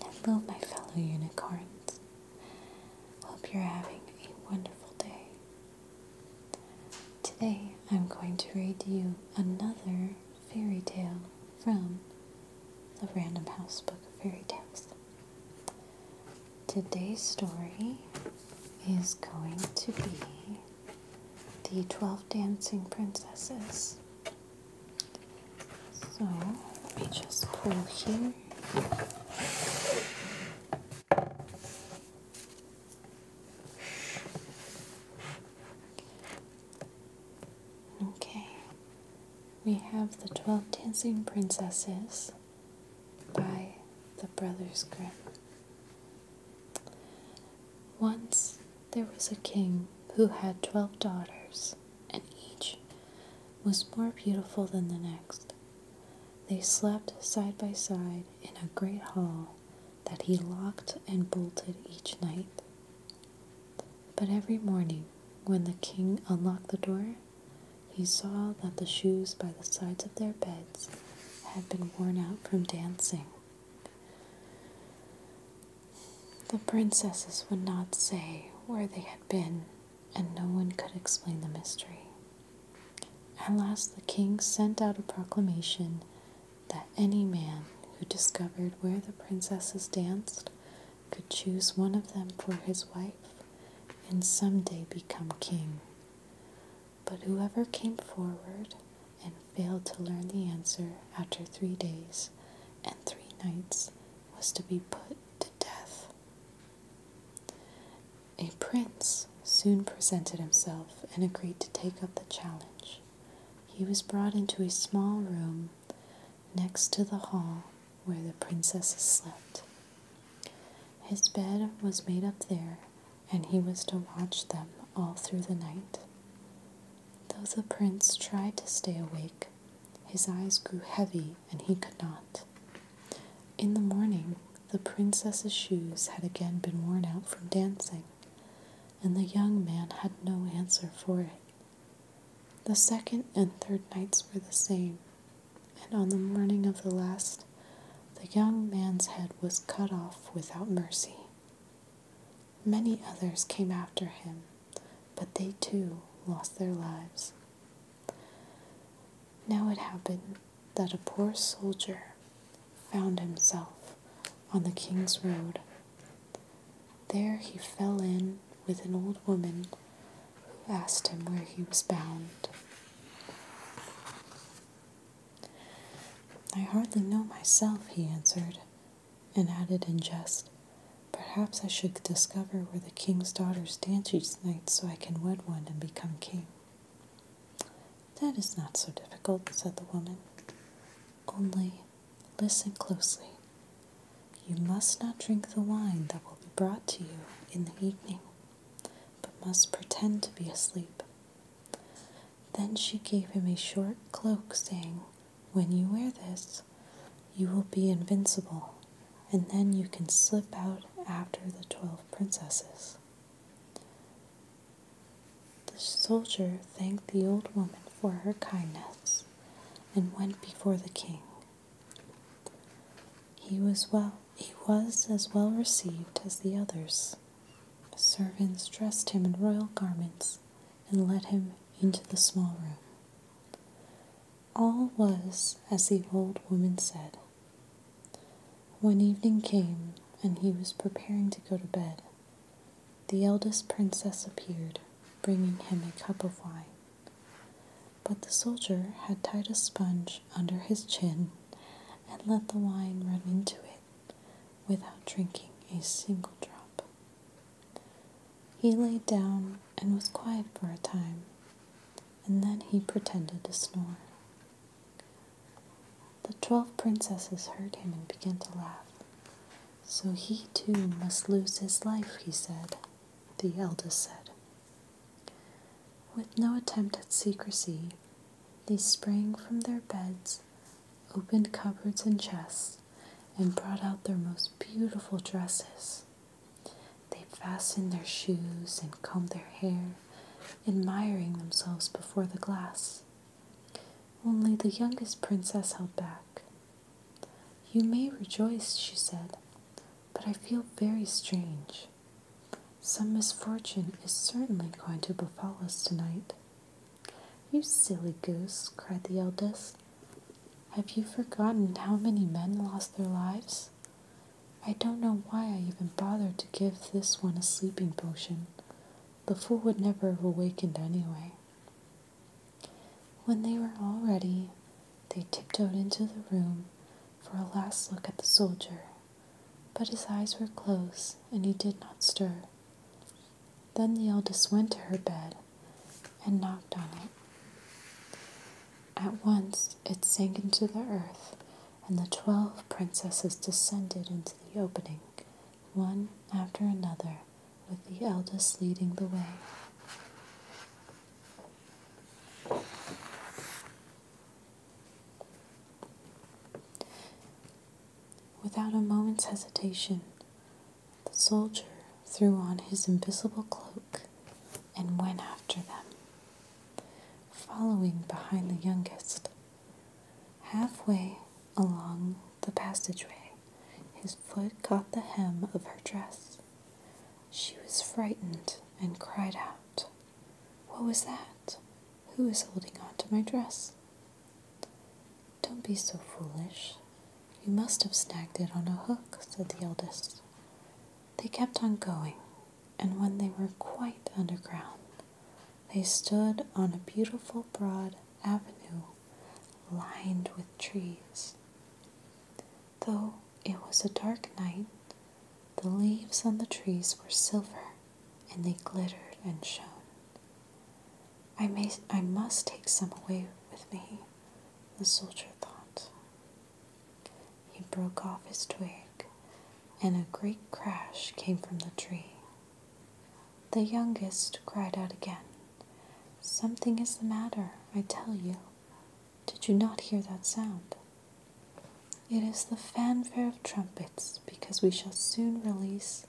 Hello, my fellow unicorns. Hope you're having a wonderful day. Today, I'm going to read you another fairy tale from the Random House Book of Fairy Tales. Today's story is going to be the 12 Dancing Princesses. So let me just pull here. Okay, we have The Twelve Dancing Princesses by the Brothers Grimm. Once there was a king who had twelve daughters, and each was more beautiful than the next. They slept side by side in a great hall that he locked and bolted each night. But every morning, when the king unlocked the door, he saw that the shoes by the sides of their beds had been worn out from dancing. The princesses would not say where they had been, and no one could explain the mystery. At last, the king sent out a proclamation that any man who discovered where the princesses danced could choose one of them for his wife and some day become king. But whoever came forward and failed to learn the answer after three days and three nights, was to be put to death. A prince soon presented himself and agreed to take up the challenge. He was brought into a small room next to the hall where the princesses slept. His bed was made up there and he was to watch them all through the night. Though the prince tried to stay awake, his eyes grew heavy and he could not. In the morning, the princess's shoes had again been worn out from dancing, and the young man had no answer for it. The second and third nights were the same, and on the morning of the last, the young man's head was cut off without mercy. Many others came after him, but they too lost their lives. Now it happened that a poor soldier found himself on the king's road. There he fell in with an old woman who asked him where he was bound. I hardly know myself, he answered, and added in jest, Perhaps I should discover where the king's daughters dance each night so I can wed one and become king. That is not so difficult, said the woman. Only listen closely. You must not drink the wine that will be brought to you in the evening, but must pretend to be asleep then she gave him a short cloak, saying, When you wear this, you will be invincible, and then you can slip out after the twelve princesses. The soldier thanked the old woman for her kindness and went before the king. He was well he was as well received as the others. Servants dressed him in royal garments and led him into the small room. All was as the old woman said. When evening came and he was preparing to go to bed, the eldest princess appeared, bringing him a cup of wine. But the soldier had tied a sponge under his chin and let the wine run into it without drinking a single drop. He lay down and was quiet for a time, and then he pretended to snore. The twelve princesses heard him and began to laugh. So he too must lose his life, he said, the eldest said. With no attempt at secrecy, they sprang from their beds, opened cupboards and chests, and brought out their most beautiful dresses. They fastened their shoes and combed their hair, admiring themselves before the glass. Only the youngest princess held back. You may rejoice, she said, but I feel very strange. Some misfortune is certainly going to befall us tonight. You silly goose, cried the eldest. Have you forgotten how many men lost their lives? I don't know why I even bothered to give this one a sleeping potion. The fool would never have awakened anyway. When they were all ready, they tiptoed into the room for a last look at the soldier, but his eyes were closed and he did not stir. Then the eldest went to her bed and knocked on it. At once it sank into the earth, and the twelve princesses descended into the opening, one after another, with the eldest leading the way. Without a moment's hesitation, the soldier threw on his invisible cloak and went after them, following behind the youngest. Halfway along the passageway, his foot caught the hem of her dress. She was frightened and cried out, What was that? Who is holding on to my dress? Don't be so foolish. You must have snagged it on a hook, said the eldest. They kept on going, and when they were quite underground, they stood on a beautiful broad avenue lined with trees. Though it was a dark night, the leaves on the trees were silver and they glittered and shone. I, may, I must take some away with me, the soldier thought. He broke off his twig, and a great crash came from the tree. The youngest cried out again, Something is the matter, I tell you. Did you not hear that sound? It is the fanfare of trumpets, because we shall soon release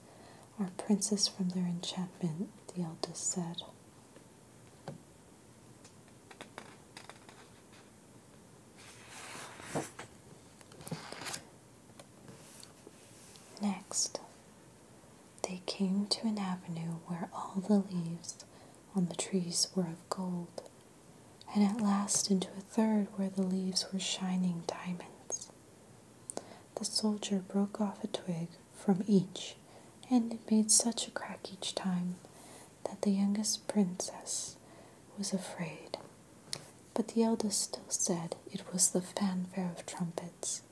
our princess from their enchantment, the eldest said. Next, they came to an avenue where all the leaves on the trees were of gold, and at last into a third where the leaves were shining diamonds. The soldier broke off a twig from each, and it made such a crack each time that the youngest princess was afraid. But the eldest still said it was the fanfare of trumpets.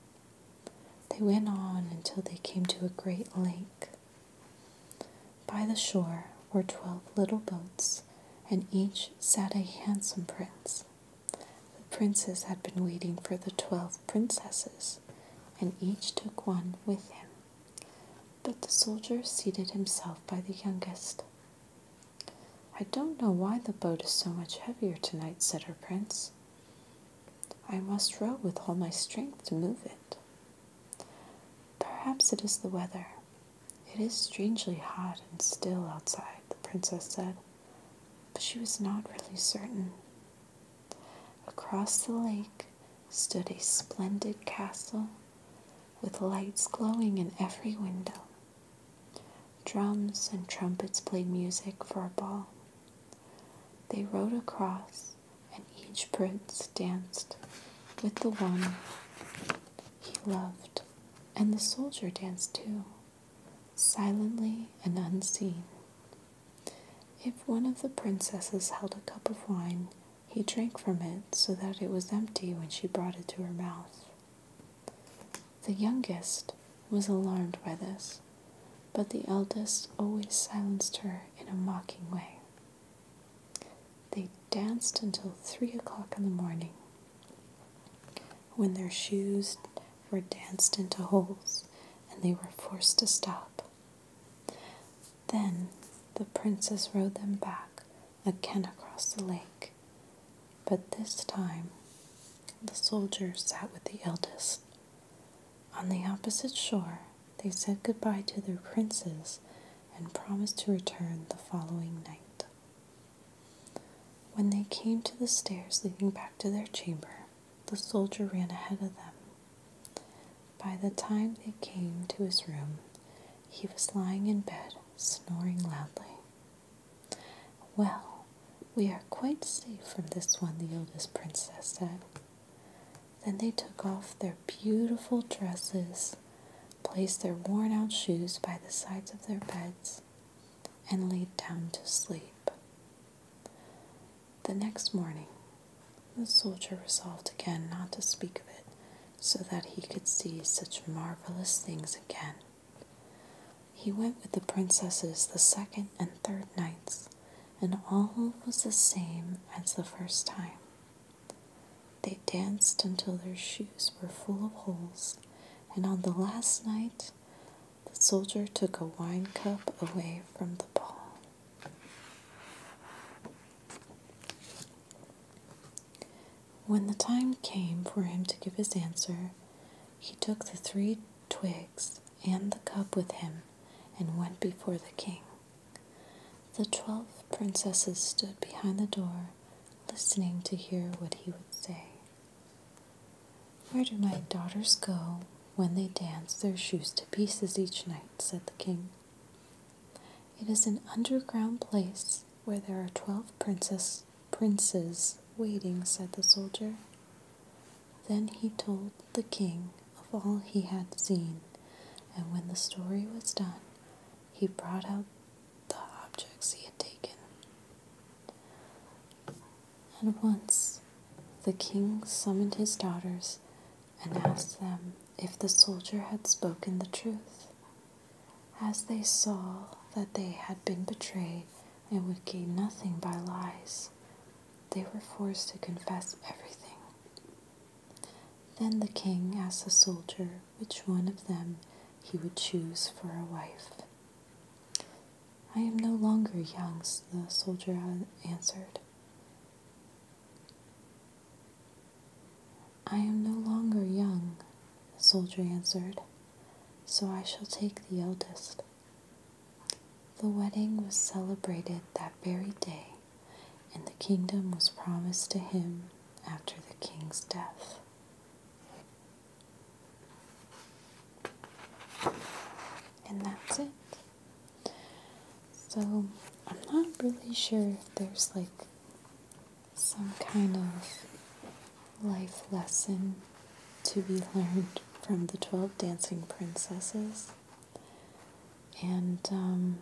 They went on until they came to a great lake. By the shore were twelve little boats, and each sat a handsome prince. The princes had been waiting for the twelve princesses, and each took one with him. But the soldier seated himself by the youngest. I don't know why the boat is so much heavier tonight, said her prince. I must row with all my strength to move it. Perhaps it is the weather. It is strangely hot and still outside, the princess said but she was not really certain. Across the lake stood a splendid castle with lights glowing in every window. Drums and trumpets played music for a ball. They rode across, and each prince danced with the one he loved, and the soldier danced too silently and unseen. If one of the princesses held a cup of wine, he drank from it so that it was empty when she brought it to her mouth. The youngest was alarmed by this, but the eldest always silenced her in a mocking way. They danced until three o'clock in the morning, when their shoes were danced into holes, and they were forced to stop. Then the princess rode them back again across the lake, but this time the soldiers sat with the eldest. On the opposite shore, they said goodbye to their princes and promised to return the following night. When they came to the stairs leading back to their chamber, the soldier ran ahead of them. By the time they came to his room, he was lying in bed, snoring loudly. Well, we are quite safe from this one, the oldest princess said. Then they took off their beautiful dresses, placed their worn out shoes by the sides of their beds, and laid down to sleep. The next morning, the soldier resolved again not to speak of it, so that he could see such marvelous things again. He went with the princesses the second and third nights, and all was the same as the first time. They danced until their shoes were full of holes, and on the last night the soldier took a wine cup away from the ball. When the time came for him to give his answer, he took the three twigs and the cup with him and went before the king. The twelve princesses stood behind the door, listening to hear what he would say. Where do my daughters go when they dance their shoes to pieces each night? said the king. It is an underground place where there are twelve princess, princes waiting, said the soldier. Then he told the king of all he had seen, and when the story was done, he brought out the objects he had taken. And once the king summoned his daughters and asked them if the soldier had spoken the truth. As they saw that they had been betrayed and would gain nothing by lies, they were forced to confess everything. Then the king asked the soldier which one of them he would choose for a wife. I am no longer young, the soldier answered. I am no longer young, the soldier answered, so I shall take the eldest. The wedding was celebrated that very day, and the kingdom was promised to him after the king's death. And that's it. So I'm not really sure if there's like some kind of life lesson to be learned from the 12 dancing princesses. And, um,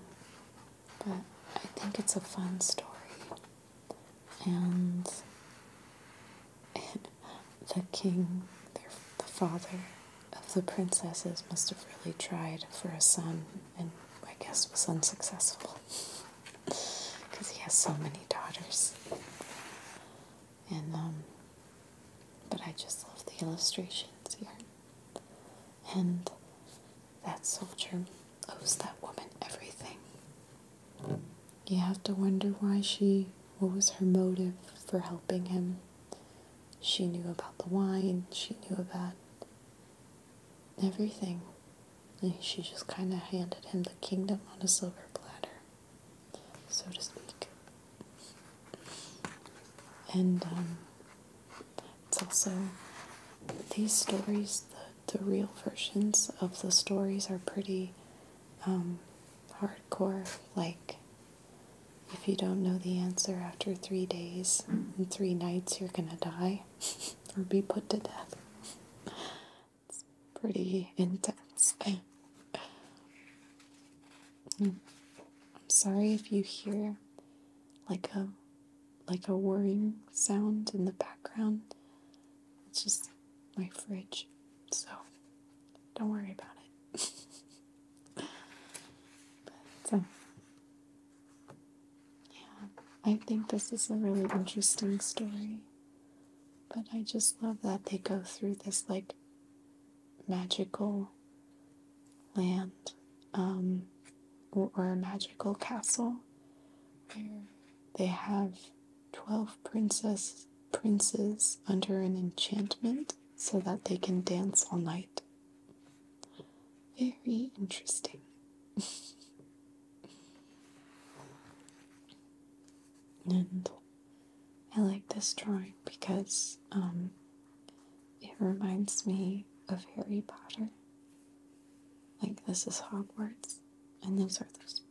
but I think it's a fun story. And the king, the father of the princesses, must have really tried for a son and I guess was unsuccessful because he has so many daughters. And, um, but I just love the illustrations here. And that soldier owes that woman everything. You have to wonder why she what was her motive for helping him? She knew about the wine, she knew about everything. And she just kind of handed him the kingdom on a silver platter, so to speak. And um, it's also these stories, the, the real versions of the stories are pretty um, hardcore. Like, if you don't know the answer after three days and three nights, you're gonna die or be put to death. It's pretty intense. Hmm. I'm sorry if you hear like a like a whirring sound in the background. It's just my fridge. So don't worry about it. So, yeah, I think this is a really interesting story. But I just love that they go through this like magical land um, or a magical castle where they have 12 princesses princes under an enchantment so that they can dance all night. Very interesting. and I like this drawing because um, it reminds me of Harry Potter. Like, this is Hogwarts, and those are those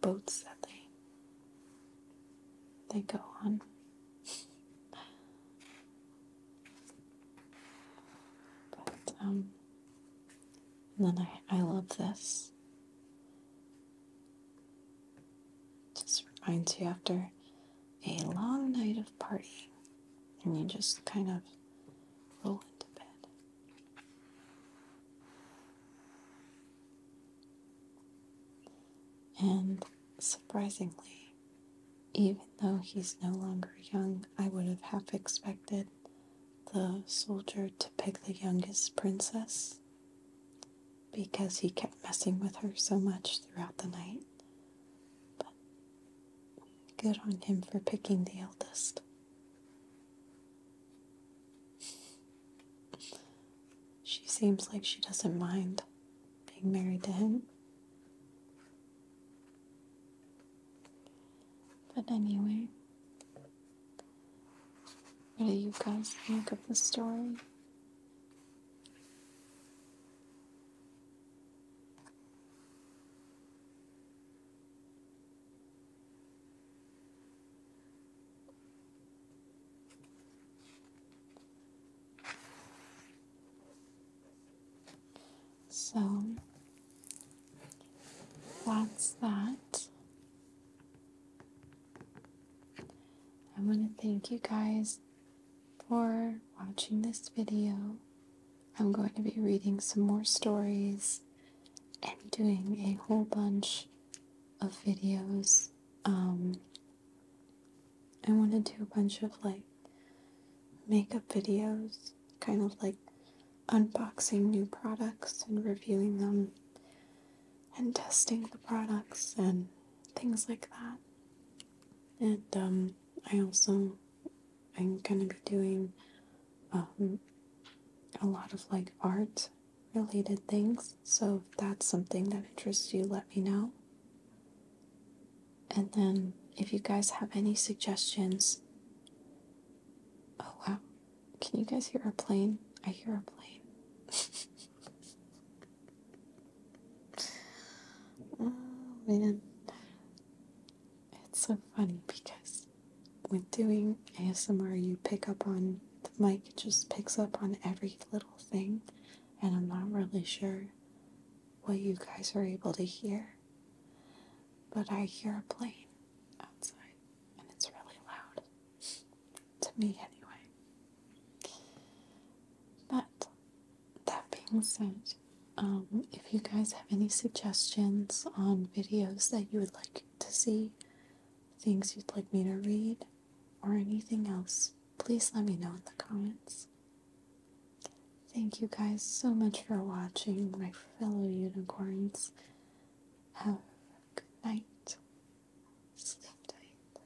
boats that they they go on. but, um, and then I, I love this. Just reminds you after a long night of partying, and you just kind of roll into bed. And surprisingly, even though he's no longer young, I would have half expected the soldier to pick the youngest princess because he kept messing with her so much throughout the night. But good on him for picking the eldest. She seems like she doesn't mind being married to him. But anyway, what do you guys think of the story? So that's that. I want to thank you guys for watching this video. I'm going to be reading some more stories and doing a whole bunch of videos um, I want to do a bunch of like makeup videos, kind of like unboxing new products and reviewing them and testing the products and things like that. And um, I also I'm gonna be doing um, a lot of like art related things. So if that's something that interests you, let me know. And then, if you guys have any suggestions. Oh, wow. Can you guys hear a plane? I hear a plane. oh, man. It's so funny because when doing ASMR, you pick up on the mic, it just picks up on every little thing and I'm not really sure what you guys are able to hear, but I hear a plane outside and it's really loud. To me, anyway. But that being said, um, if you guys have any suggestions on videos that you would like to see, things you'd like me to read, or anything else, please let me know in the comments. Thank you guys so much for watching, my fellow unicorns. Have a good night. Sleep tight.